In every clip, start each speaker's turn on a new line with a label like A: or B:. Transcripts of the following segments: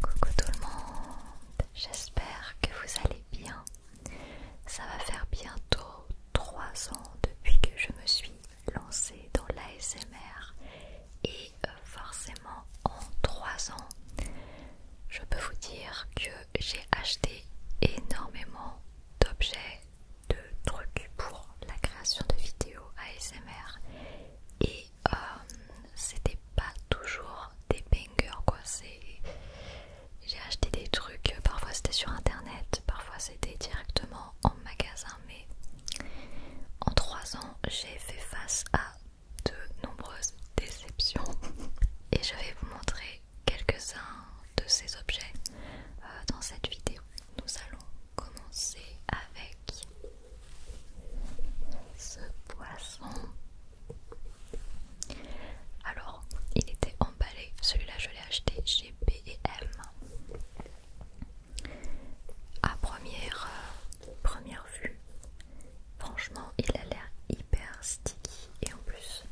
A: Coucou tout le monde, j'espère que vous allez bien. Ça va faire bientôt 3 ans depuis que je me suis lancée dans l'ASMR et euh, forcément en 3 ans, je peux vous dire que j'ai acheté énormément d'objets, de trucs pour la création de vidéos ASMR et euh, c'était pas toujours des bangers quoi. J'ai acheté des trucs, parfois c'était sur internet, parfois c'était directement en magasin, mais en 3 ans j'ai fait face à de nombreuses déceptions et je vais vous montrer quelques-uns de ces objets euh, dans cette vidéo. Nous allons commencer avec ce poisson. Alors, il était emballé. Celui-là, je l'ai acheté chez BM. À première, euh, première vue, franchement, il a l'air hyper sticky. Et en plus,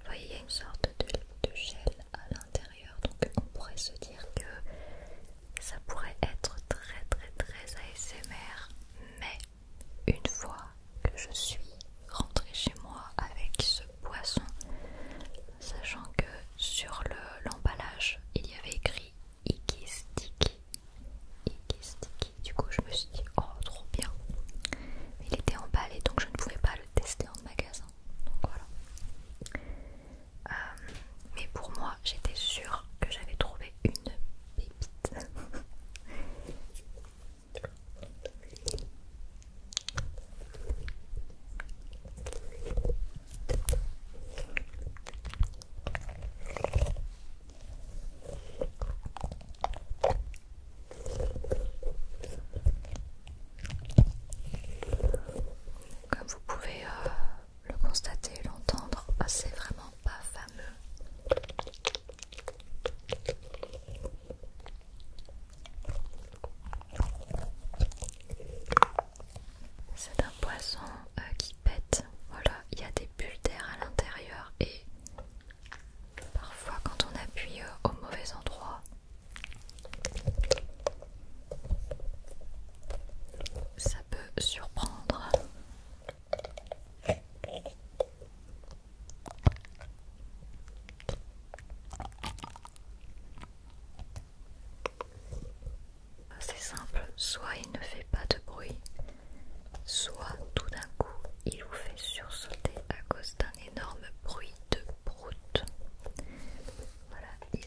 A: vous voyez, il y a une sorte de gel à l'intérieur. Donc, on pourrait se dire que ça pourrait être très très très ASMR, mais une fois que je suis rentrée chez moi avec ce poisson, sachant que sur l'emballage il y avait écrit Iki Sticky, du coup je me suis dit oh trop bien, mais il était emballé donc je ne pouvais pas le tester en magasin, donc voilà. Euh, mais pour moi j'étais sûre que j'avais trouvé une pépite Comme vous pouvez euh, le constater l'entendre, ah, c'est vraiment pas fameux. C'est un poisson euh, qui pète. Voilà, il y a des bulles d'air à l'intérieur et parfois quand on appuie euh, au mauvais endroit, ça peut surprendre. C'est simple, soit il ne fait pas de bruit, soit tout d'un coup il vous fait sursauter à cause d'un énorme bruit de broute. Voilà, il,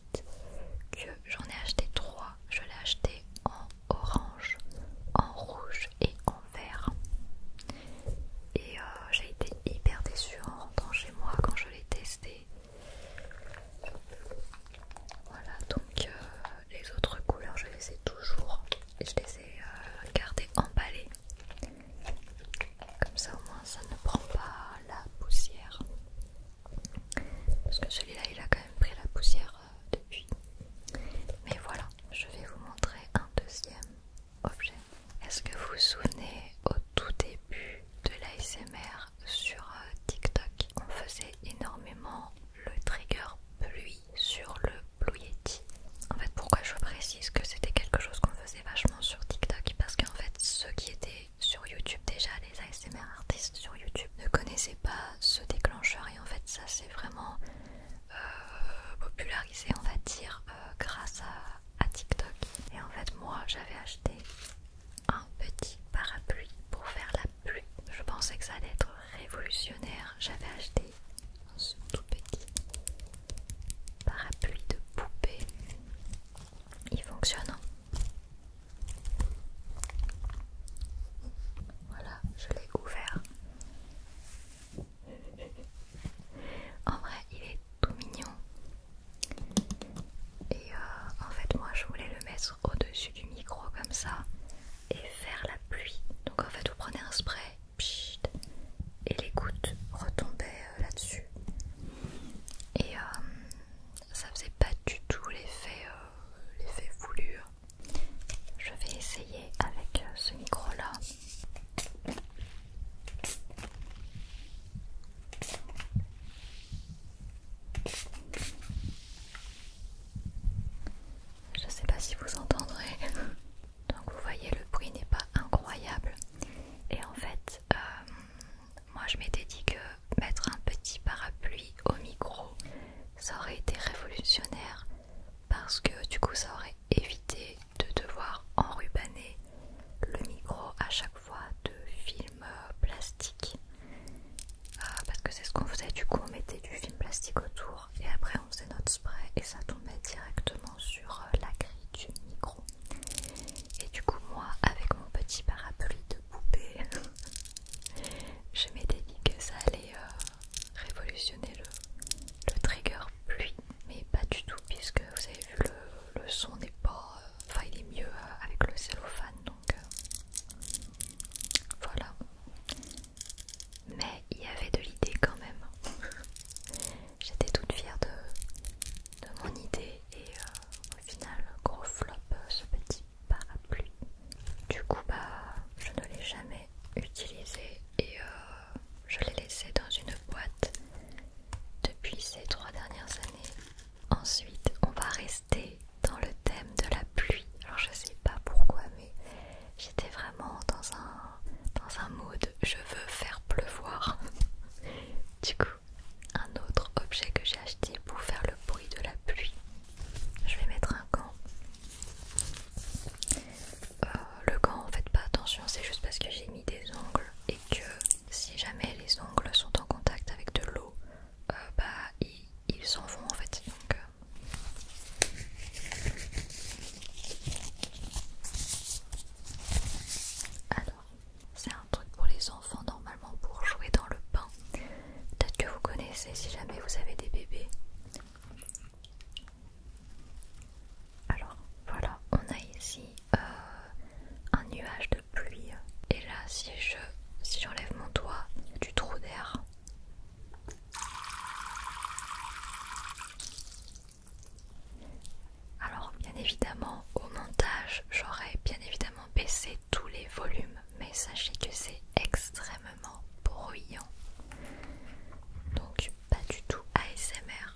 A: que j'en ai acheté trois. Je l'ai acheté en orange, en rouge et en vert. Et euh, j'ai été hyper déçue en rentrant chez moi quand je l'ai testé. Voilà, donc euh, les autres couleurs, je les ai toujours. je les ai euh, gardées emballées. Comme ça, au moins, ça ne prend pas la poussière parce que celui-là il a quand même pris la poussière euh, depuis mais voilà je vais vous montrer un deuxième objet est-ce que vous vous souvenez au tout début de l'ASMR sur euh, TikTok on faisait énormément le trigger pluie sur le Blue Yeti en fait pourquoi je précise que c'était quelque chose qu'on faisait vachement sur TikTok parce qu'en fait ce qui était sur YouTube déjà les ASMR artistes sur YouTube ne connaissaient pas ce déclencheur et en fait ça c'est vraiment euh, popularisé on va dire euh, grâce à, TikTok et en fait moi j'avais acheté un petit parapluie pour faire la pluie je pensais que ça allait être révolutionnaire j'avais acheté ce tout petit parapluie de poupée il fonctionne hein. Voilà, je l'ai ouvert. En vrai, il est tout mignon. Et euh, en fait, moi, je voulais le mettre au-dessus du micro comme ça et faire la pluie. Donc en fait, vous prenez un spray et les gouttes retombaient euh, là-dessus. Et euh, ça faisait pas du tout l'effet euh, l'effet voulu. Je vais essayer avec euh, ce micro là. Je sais pas si vous entendrez. Donc vous voyez le bruit n'est pas incroyable. Et en fait, euh, moi je m'étais dit que mettre un petit parapluie au micro, ça aurait été révolutionnaire parce que du coup ça aurait évité de devoir enrubaner le micro à chaque fois de film plastique. Euh, parce que c'est ce qu'on faisait, du coup on mettait du film plastique autour et après on faisait notre spray et ça tombait directement sur euh, la grille du micro. Et du coup moi avec mon petit parapluie de Je m'étais dit que ça allait euh, révolutionner le, trigger pluie, mais pas du tout, puisque vous avez vu, le, son n'est pas. Euh, enfin, il est mieux euh, avec le cellophane, donc voilà. Mais il y avait de l'idée quand même. J'étais toute fière de, de mon idée et euh, au final gros flop euh, ce petit parapluie. Du coup bah je ne l'ai jamais utilisé et euh, je l'ai laissé dans une boîte depuis ces trois dernières années. Ensuite on va rester dans le thème de la pluie. Alors je sais pas pourquoi mais j'étais vraiment dans un dans un mode je veux faire pleuvoir. du coup un autre objet que j'ai acheté pour faire le bruit de la pluie. Je vais mettre un gant. Euh, le gant, en fait, pas attention, c'est juste parce que j'ai mis des ongles et que si jamais les ongles sont en contact avec de l'eau, euh, bah ils, s'en vont en fait. Euh, c'est un truc pour les enfants normalement pour jouer dans le bain. Peut-être que vous connaissez si jamais vous avez des bébés. Alors voilà, on a ici euh, un nuage de pluie. Et là, si je si j'enlève mon doigt du trou d'air, alors bien évidemment au montage j'aurais bien évidemment baissé tous les volumes mais sachez que c'est extrêmement bruyant donc pas du tout ASMR.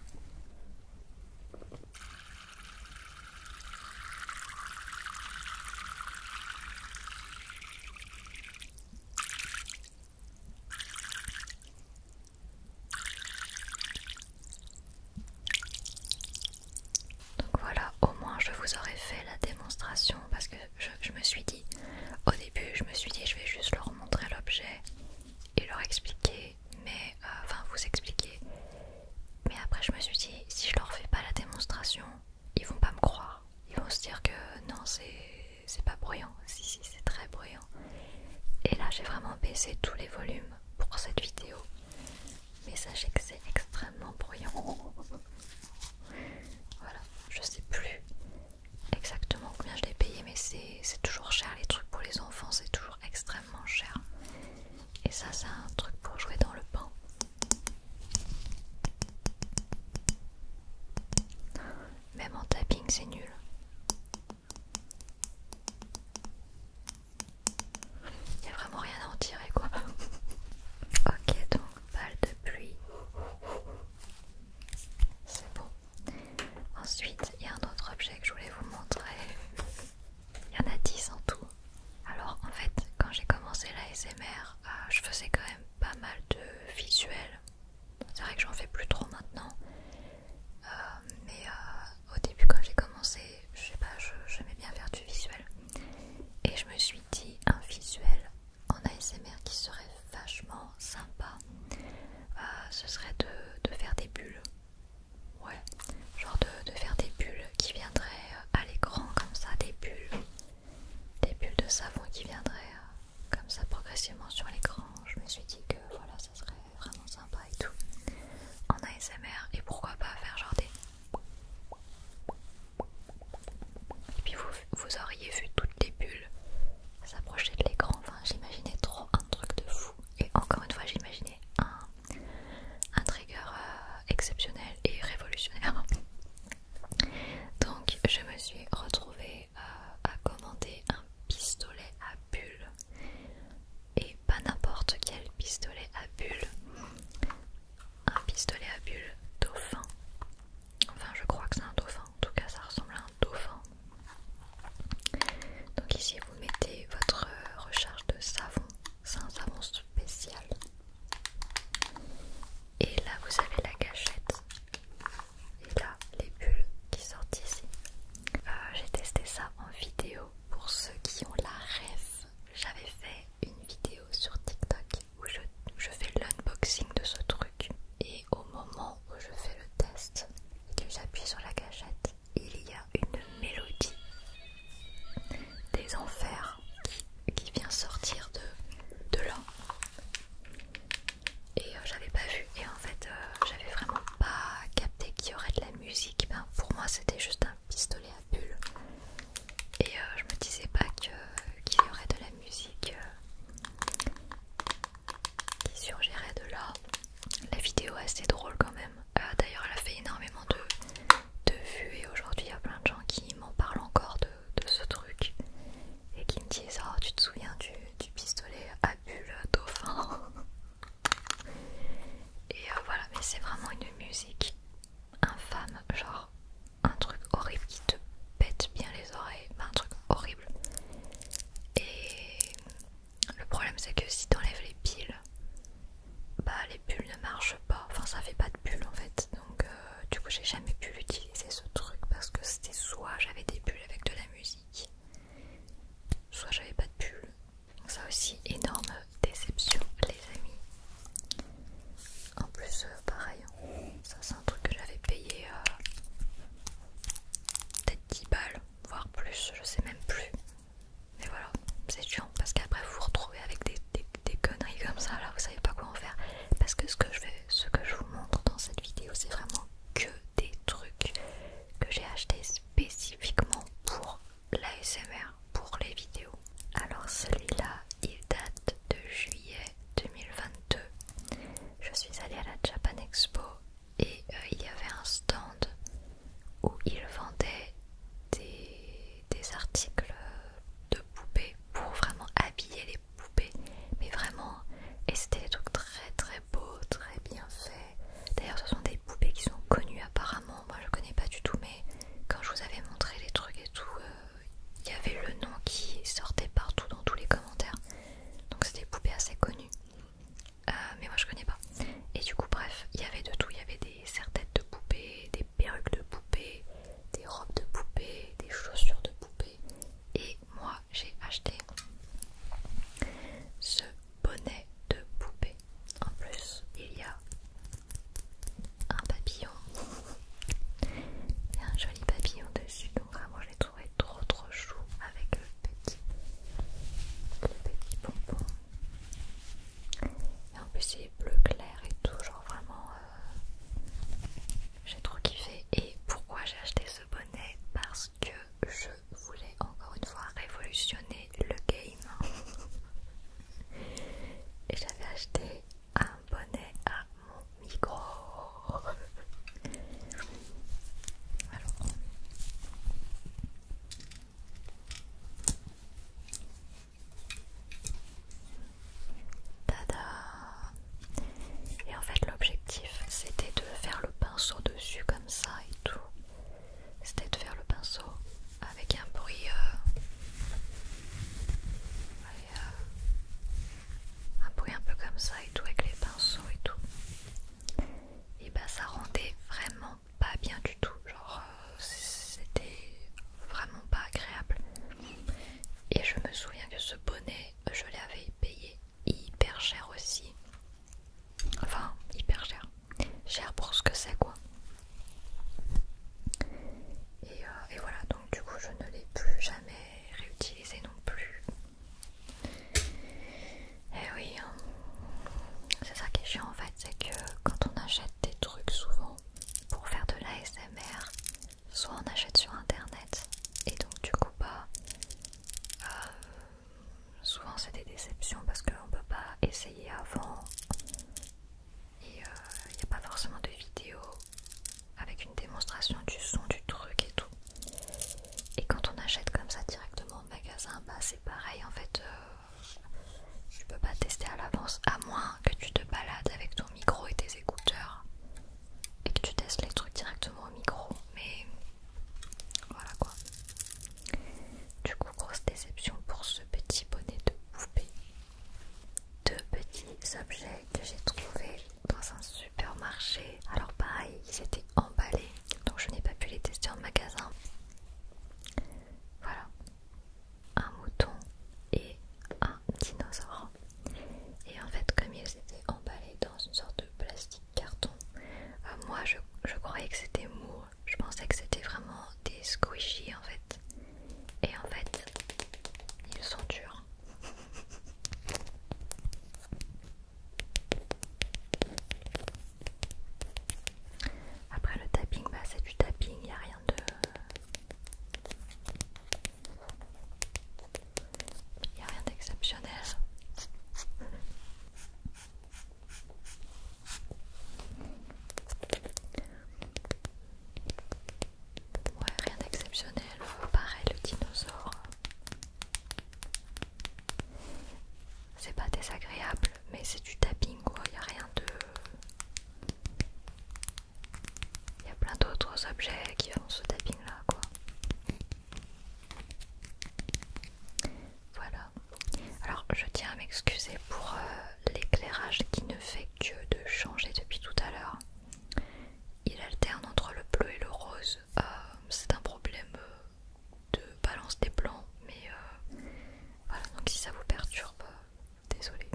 A: Donc voilà, au moins je vous aurais fait la démonstration parce que je, me suis dit, au début je me suis dit je vais juste leur montrer l'objet et leur expliquer, mais euh, enfin vous expliquer. Mais après je me suis dit si je leur fais pas la démonstration, ils vont pas me croire. Ils vont se dire que non c'est pas bruyant, si si c'est très bruyant. Et là j'ai vraiment baissé tous les volumes pour cette vidéo mais sachez que c'est extrêmement bruyant. Voilà, je sais plus exactement combien je l'ai payé, mais c'est toujours cher. Les trucs pour les enfants, c'est toujours extrêmement cher. Et ça, c'est un truc pour jouer dans le pan Même en tapping, c'est nul. Il n'y a vraiment rien à en tirer quoi. ok donc balle de pluie. C'est bon. Ensuite il y a un autre objet que je voulais vous montrer. Il y en a 10 en tout. Alors en fait quand j'ai commencé la SMR euh, je faisais quand même pas mal de visuels. C'est vrai que j'en fais plus trop maintenant. Euh, mais euh, au début quand j'ai commencé, je sais pas, j'aimais bien faire du visuel. Et je me suis dit un visuel en ASMR qui serait vachement sympa. Euh, ce serait de, faire des bulles. Ouais, genre de, de faire des bulles qui viendraient euh, à l'écran comme ça, des bulles. Des bulles de savon qui viendraient euh, comme ça progressivement sur l'écran. Je me suis dit que voilà, ça serait vraiment sympa et tout en ASMR et pourquoi pas faire genre des et puis vous, auriez vu toutes les bulles s'approcher de l'écran enfin j'imaginais trop un truc de fou et encore une fois j'imaginais un, trigger euh, exceptionnel et révolutionnaire donc je me suis retrouvée euh, à commander un pistolet à bulles et pas n'importe quel pistolet à bulles, un pistolet à bulles dauphin. Enfin, je crois que c'est un dauphin, en tout cas, ça ressemble à un dauphin. Donc, ici, vous mettez votre euh, recharge de savon, c'est un savon spécial. Et là, vous avez la gâchette. Et là, les bulles qui sortent ici. Euh, j'ai testé ça en vidéo pour ceux qui ont la rêve j'avais fait une vidéo sur TikTok où je, fais l'unboxing de ce truc et au moment où je fais le test et que j'appuie sur la gâchette, il y a une mélodie des enfers qui, vient sortir de, de là et euh, j'avais pas vu et en fait euh, j'avais vraiment pas capté qu'il y aurait de la musique ben, pour moi c'était juste un pistolet à bulles et euh, je me disais pas qu'il y aurait de la musique euh, qui surgirait de là. La vidéo est assez drôle quand même. Euh, d'ailleurs elle a fait énormément de, vues et aujourd'hui il y a plein de gens qui m'en parlent encore de, ce truc et qui me disent oh, tu te souviens du, du pistolet à bulles dauphin Et euh, voilà, mais c'est vraiment une musique infâme, genre un truc horrible qui te pète bien les oreilles, Bah un truc horrible. Et le problème c'est que si t'enlèves les piles, bah les bulles ne marchent pas, enfin ça fait pas de bulles en fait, donc euh, du coup j'ai jamais pu l'utiliser ce truc parce que c'était soit j'avais des bulles avec de la musique, soit j'avais pas de bulles, ça aussi, énorme déception, les amis. En plus, euh, pareil, ça c'est un truc que j'avais payé euh, peut-être 10 balles, voire plus, je sais même plus. Mais voilà, c'est chiant parce qu'après vous vous retrouvez avec des, conneries comme ça, là vous savez pas quoi en faire. Parce que ce que je, vais, ce que je vous montre dans cette vidéo, c'est vraiment que des trucs que j'ai acheté spécifiquement pour l'ASMR pour les vidéos. Alors celui-là, il date de juillet 2022. Je suis allée à la Japan Expo et euh, il y avait un stand où ils vendaient des, des articles de poupées pour vraiment habiller les poupées. Mais vraiment, et c'était des trucs très très beaux, très bien faits. D'ailleurs, ce sont des poupées qui sont connues apparemment. Moi, je connais pas du tout, mais quand je vous avais montré les trucs et tout, euh, il y avait le nom qui sortait partout dans tous les commentaires. Donc, c'est des poupées assez connues. Euh, mais moi, je connais pas. Et du coup, bref, il y avait de tout. Il y avait des serre-têtes de poupées, des perruques de poupées, des robes de poupées, des chaussures de poupées. Et moi, j'ai acheté ce bonnet de poupée. En plus, il y a un papillon. Il y a un joli papillon dessus. Donc vraiment, je l'ai trouvé trop trop chou avec le petit, petit bonbon. Et en plus, il est bleu clair et tout. Genre vraiment, euh, j'ai trop kiffé. Et pourquoi j'ai acheté ce bonnet Parce que je voulais encore une fois révolutionner le game et j'avais acheté un bonnet à mon micro alors Tada Et en fait l'objectif c'était de faire le pinceau dessus comme ça et tout c'était de faire le pinceau avec un bruit euh, euh, un bruit un peu comme ça et tout avec les pinceaux et tout et ben ça rendait vraiment pas bien du tout genre euh, c'était vraiment pas agréable et je me souviens que ce bonnet je l'avais payé hyper cher aussi Enfin, hyper cher. Cher pour ce que c'est, quoi. Euh, et, voilà, donc du coup, je ne l'ai plus jamais réutilisé non plus. Et eh oui, hein. c'est ça qui est chiant en fait, c'est que quand on achète des trucs souvent pour faire de l'ASMR, soit on achète sur internet et donc du coup, pas bah, euh, souvent c'est des déceptions parce qu'on peut pas essayer avant et il euh, n'y a pas forcément de vidéo avec une démonstration du son du truc et tout et quand on achète comme ça directement au magasin bah c'est pareil en fait je euh, tu peux pas tester à l'avance à moins que tu te balades avec ton micro et tes écouteurs et que tu testes les trucs directement au micro mais voilà quoi du coup, grosse déception pour ce petit bonnet de poupée. Deux petits objets que j'ai trouvés dans un supermarché. Alors pareil, ils étaient emballés, donc je n'ai pas pu les tester en magasin. Voilà, un mouton et un dinosaure. Et en fait, comme ils étaient emballés dans une sorte de plastique carton, euh, moi je, croyais que c'était mou je pensais que c'était vraiment des squishies en fait. Et en fait, ils sont durs. Après le tapping, bah, c'est du tapping, il a rien de... Il n'y a rien d'exceptionnel. Ouais, rien d'exceptionnel, pareil le dinosaure. C'est pas désagréable, mais c'est du tapping quoi, y a rien de. Il y a plein d'autres objets qui ont ce tapping là quoi. Voilà. Alors je tiens à m'excuser pour euh, l'éclairage qui ne fait que de changer depuis tout à l'heure. Il alterne entre le bleu et le rose. Euh, c'est un problème euh, de balance des blancs, mais voilà, donc si ça vous perturbe, désolé.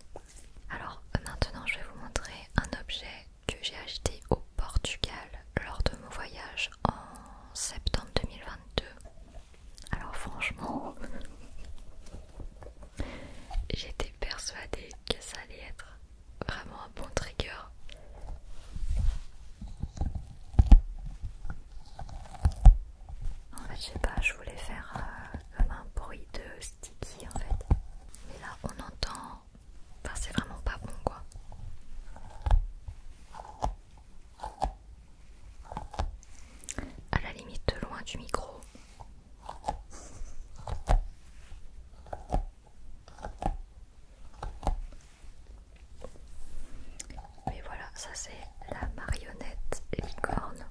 A: Alors maintenant je vais vous montrer un objet que j'ai acheté au Portugal lors de mon voyage en septembre 2022. Alors franchement, j'étais persuadée que ça allait être vraiment un bon trigger. En fait, je sais pas, je voulais faire euh, un bruit de sticky en fait. Mais là, on entend. Enfin, c'est vraiment pas bon quoi à la limite de loin du micro. Mais voilà, ça c'est la marionnette licorne.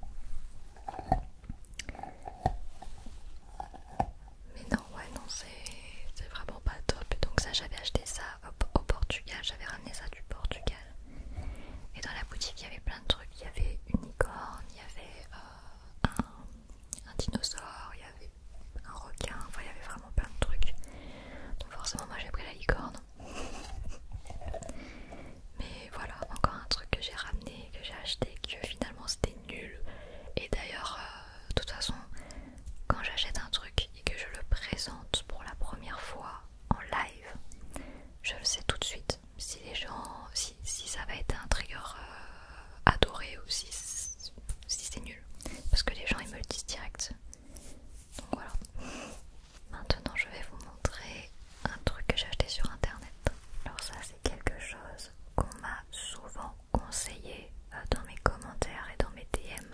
A: Mais non, ouais, non, c'est vraiment pas top. Donc, ça, j'avais acheté ça au, Portugal, j'avais ramené ça du Portugal. Et dans la boutique, il y avait plein de trucs. Il y avait une licorne, il y avait euh, un, dinosaure, il y avait un requin. Enfin, il y avait vraiment plein de trucs. Donc forcément, moi, j'ai pris la licorne. Mais voilà, encore un truc que j'ai ramené, que j'ai acheté, que finalement c'était nul. Et d'ailleurs, euh, de toute façon, quand j'achète un truc et que je le présente pour la première fois en live, je le sais tout de suite. Si les gens, si, ça va être un trigger euh, adoré ou si, c'est nul, parce que les gens ils me le disent direct. Donc voilà. Maintenant, je vais vous montrer un truc que j'ai acheté sur internet. Alors, ça, c'est quelque chose qu'on m'a souvent conseillé euh, dans mes commentaires et dans mes DM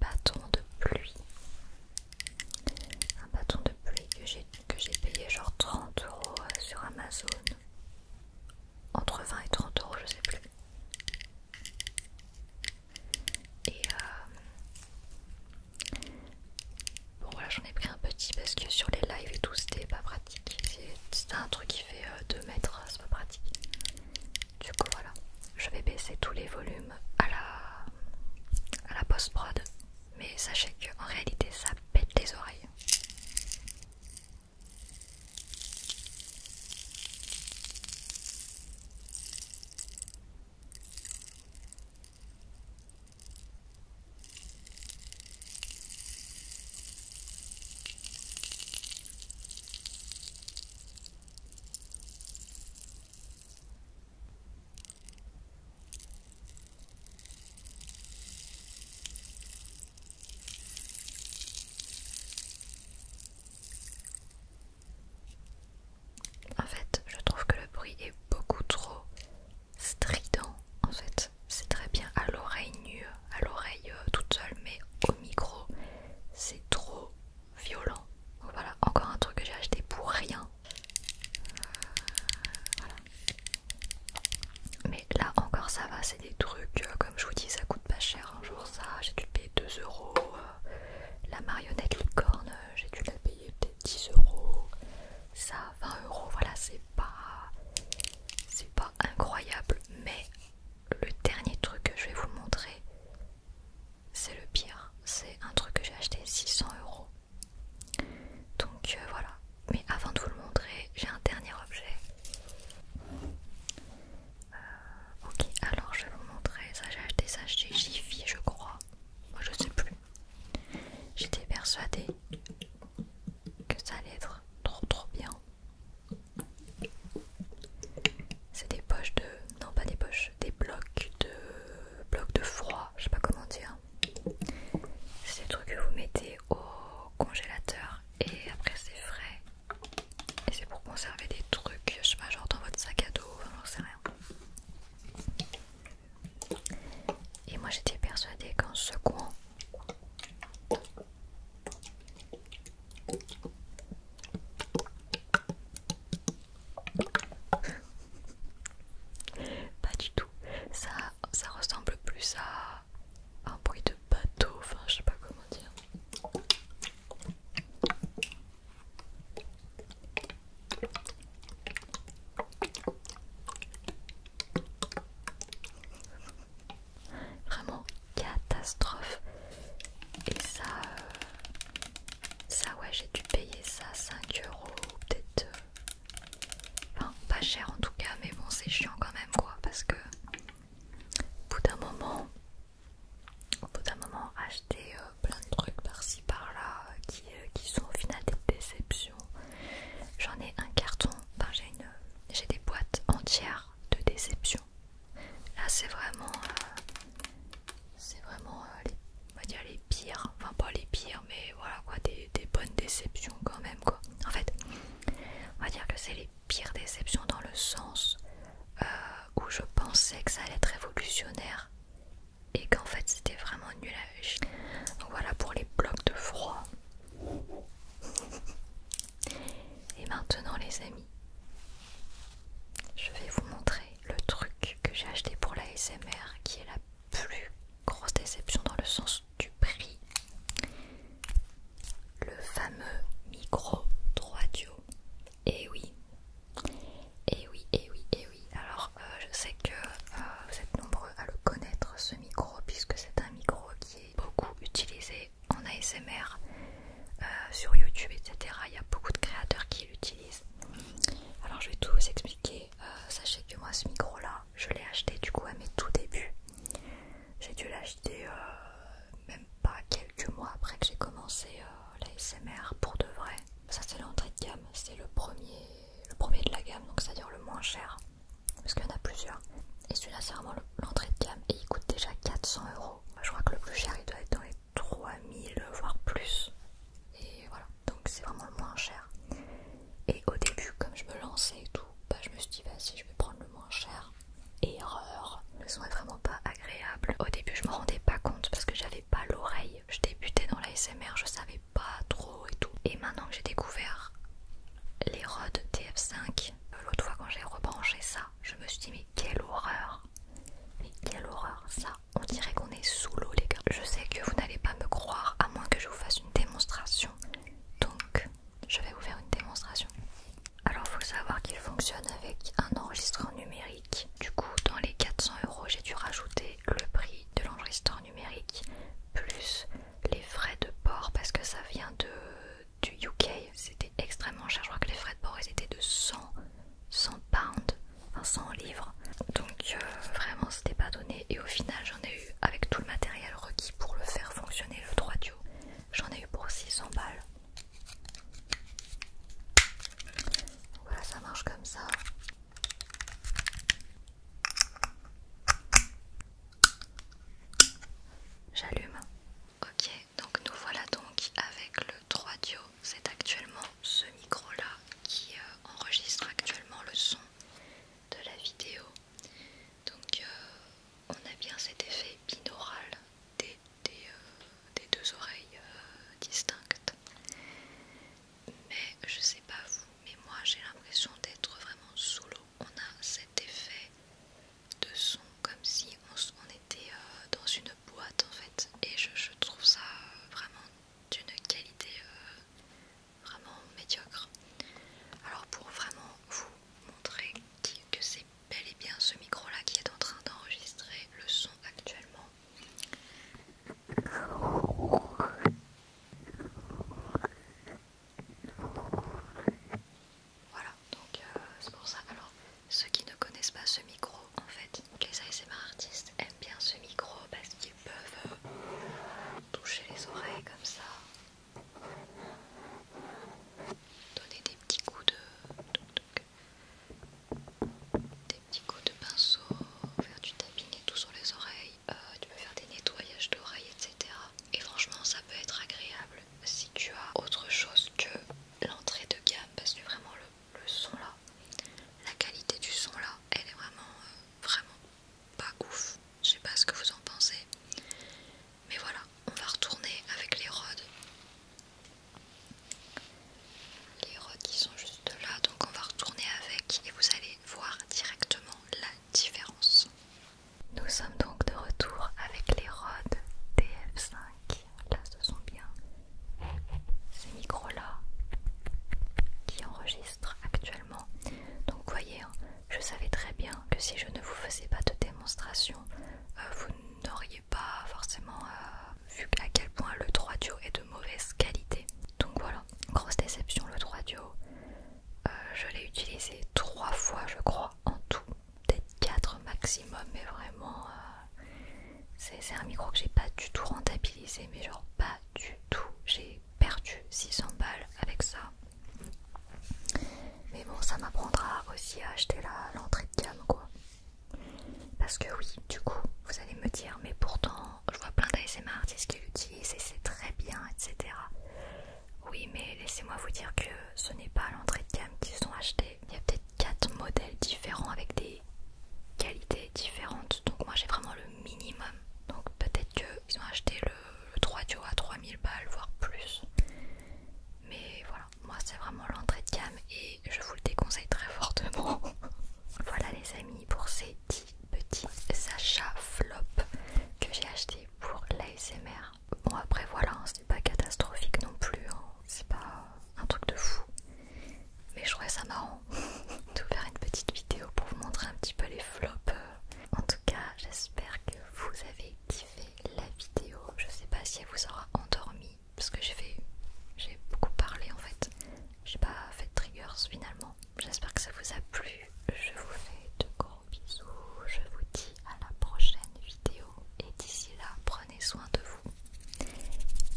A: bâton de pluie. Un bâton de pluie que j'ai payé genre 30 euros euh, sur Amazon. Entre 20 et 30 euros, je sais plus. Et euh, bon voilà, j'en ai pris un petit parce que sur les lives et tout, c'était pas pratique. C'était un truc qui fait 2 euh, mètres, hein, c'est pas pratique. Du coup voilà, je vais baisser tous les volumes à la, à la post-prod, mais sachez qu'en réalité ça pète les oreilles. En fait, je trouve que le bruit est beaucoup trop strident. En fait, c'est très bien à l'oreille nue, à l'oreille euh, toute seule, mais au micro, c'est trop violent. voilà, encore un truc que j'ai acheté pour rien. Mais là encore ça va, c'est des trucs, euh, comme je vous dis, ça coûte pas cher. Un jour ça, j'ai dû payer 2 euros. Euh, la marionnette licorne, euh, j'ai dû la payer peut-être 10 euros. Ça, 20 euros, voilà, c'est pas, c'est pas incroyable. Mais le dernier truc que je vais vous montrer, c'est le pire. C'est un truc que j'ai acheté 600 euros. Donc euh, voilà. Mais avant de vous le montrer, j'ai un dernier objet. Euh, ok, alors je vais vous montrer. Ça, j'ai acheté ça chez Jiffy, je crois. Moi, je sais plus. J'étais persuadée que ça allait être trop trop bien. C'est des poches de... Non pas des poches, des blocs de... blocs de froid, je sais pas comment dire. C'est des trucs que vous mettez au congélateur et après c'est frais. Et c'est pour conserver des trucs, je sais pas, genre dans votre sac à dos, enfin j'en sais rien. Et moi j'étais persuadée qu'en secouant pas du tout. Ça, ça ressemble plus à un bruit de bateau. Enfin, je sais pas comment dire. Vraiment catastrophe. Et ça, euh, ça, ouais, j'ai dû payer ça 5 euros, peut-être. Euh, enfin, pas cher en tout cas, mais bon, c'est chiant quand même, quoi. Parce que, au bout d'un moment, au bout d'un moment, acheter euh, plein de trucs par-ci par-là qui, euh, qui sont au final des déceptions. J'en ai un carton, enfin, j'ai une. J'ai des boîtes entières de déception. Là, c'est vraiment c'est vraiment euh, les, dire les pires, enfin pas les pires, mais voilà quoi, des, bonnes déceptions quand même quoi. En fait, on va dire que c'est les pires déceptions dans le sens euh, où je pensais que ça allait être révolutionnaire et qu'en fait c'était vraiment nul à Donc voilà pour les blocs de froid. Et maintenant les amis, je vais vous montrer le truc que j'ai acheté pour l'ASMR qui est la plus grosse déception dans le sens du prix. Le fameux micro 3 Eh Et oui. Eh oui, et eh oui, et eh oui. Alors, euh, je sais que euh, vous êtes nombreux à le connaître ce micro puisque c'est un micro qui est beaucoup utilisé en ASMR euh, sur YouTube, etc. Il y a beaucoup de créateurs qui l'utilisent. Alors je vais tout vous expliquer. Euh, sachez que moi ce micro là, je l'ai acheté du coup à mes tout débuts. J'ai dû l'acheter euh, même pas quelques mois après que j'ai commencé la SMR pour de vrai. Ça c'est l'entrée de gamme, c'est le premier, le premier de la gamme, donc c'est-à-dire le moins cher. Parce qu'il y en a plusieurs. Et celui-là c'est vraiment l'entrée de gamme et il coûte déjà 400 euros. Je crois que le plus cher il doit être dans les 3000 voire plus et voilà donc c'est vraiment le moins cher et au début comme je me lançais et tout bah je me suis dit vas si je vais prendre le moins cher erreur le son est vraiment pas agréable au début je me rendais pas compte parce que j'avais pas l'oreille je débutais dans la je savais pas trop et tout et maintenant que j'ai découvert les Rode TF5 l'autre fois quand j'ai rebranché ça je me suis dit mais quelle horreur mais quelle horreur ça On dirait qu'on est sous l'eau les gars. Je sais que vous n'allez pas me croire à moins que je vous fasse une démonstration. Donc je vais vous faire une démonstration. Alors il faut savoir qu'il fonctionne avec un enregistreur numérique. Du coup dans les 400 euros j'ai dû rajouter le prix de l'enregistreur numérique plus les frais de port parce que ça vient de du UK extrêmement cher. Je crois que les frais de port ils étaient de 100, 100 pounds, enfin 100 livres. Donc euh, vraiment c'était pas donné. Et au final j'en ai eu avec tout le matériel requis pour le faire fonctionner le 3 duo. J'en ai eu pour 600 balles. Voilà ça marche comme ça. J'allume. Ok, donc nous voilà donc avec le 3 Dio, c'est actuellement ce micro là qui euh, enregistre actuellement le son de la vidéo. Donc euh, on a bien cet effet binaural des, euh, deux oreilles distinctes. Mais je sais pas vous, mais moi j'ai l'impression d'être vraiment sous l'eau. On a cet effet de son comme si on, était dans une boîte en fait et je, trouve ça euh, vraiment d'une qualité euh, vraiment médiocre. Alors pour vraiment vous montrer que c'est bel et bien ce micro là qui est en train d'enregistrer le son actuellement. Voilà, donc euh, c'est pour ça. Alors, ceux qui ne connaissent pas ce micro, en fait, les ASMR artistes aiment bien ce micro parce qu'ils peuvent euh, toucher les oreilles comme ça, donner des petits coups de. des petits coups de pinceau, faire du tapinet et tout sur les oreilles. Euh, tu peux faire des nettoyages d'oreilles, etc. Et franchement, ça peut être agréable si tu as autre chose que l'entrée de gamme parce que vraiment le, son là, la qualité du son là, elle est vraiment, euh, vraiment pas ouf. Je sais pas ce que vous en pensez, mais voilà, on va retourner avec les rods. Les rods qui sont juste là, donc on va retourner avec et vous allez voir directement la différence. Nous sommes donc de retour avec les rods TF5 Là, ce sont bien ces micros-là qui enregistrent actuellement. Donc, voyez, hein, je savais très bien que si je ne vous faisais pas de démonstration, euh, vous n'auriez pas forcément euh, vu à quel point le 3 duo est de mauvaise qualité. Donc voilà, grosse déception le 3 duo. Euh, je l'ai utilisé trois fois, je crois, en tout peut-être 4 maximum, mais vraiment, euh, c'est un micro que j'ai pas du tout rentabilisé, mais genre pas du tout. J'ai perdu 600 balles avec ça. Mais bon, ça m'apprendra aussi à acheter l'entrée de gamme, quoi. Parce que oui, du coup, vous allez me dire, mais pourtant, je vois plein d'ASMR artistes qui l'utilisent et c'est très bien, etc. Oui, mais laissez-moi vous dire que ce n'est pas l'entrée de gamme qu'ils ont acheté, il y a peut-être 4 modèles différents avec des qualités différentes. Donc moi j'ai vraiment le minimum. Donc peut-être qu'ils ont acheté le, 3 duo à 3000 balles, voire plus. Mais voilà, moi c'est vraiment l'entrée de gamme et je vous le déconseille très fortement. voilà les amis pour ces 10 petits achats flop que j'ai acheté pour l'ASMR. Bon après voilà, hein, c'est pas catastrophique non plus, hein. c'est pas un truc de fou. Mais je trouvais ça marrant d'ouvrir une petite vidéo pour vous montrer un petit peu les flops. En tout cas, j'espère que vous avez kiffé la vidéo. Je sais pas si elle vous aura endormi parce que j'ai fait, j'ai beaucoup parlé en fait. J'ai pas fait de triggers finalement. J'espère que ça vous a plu. Je vous fais de gros bisous. Je vous dis à la prochaine vidéo et d'ici là, Prenez soin de vous.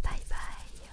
A: Bye bye.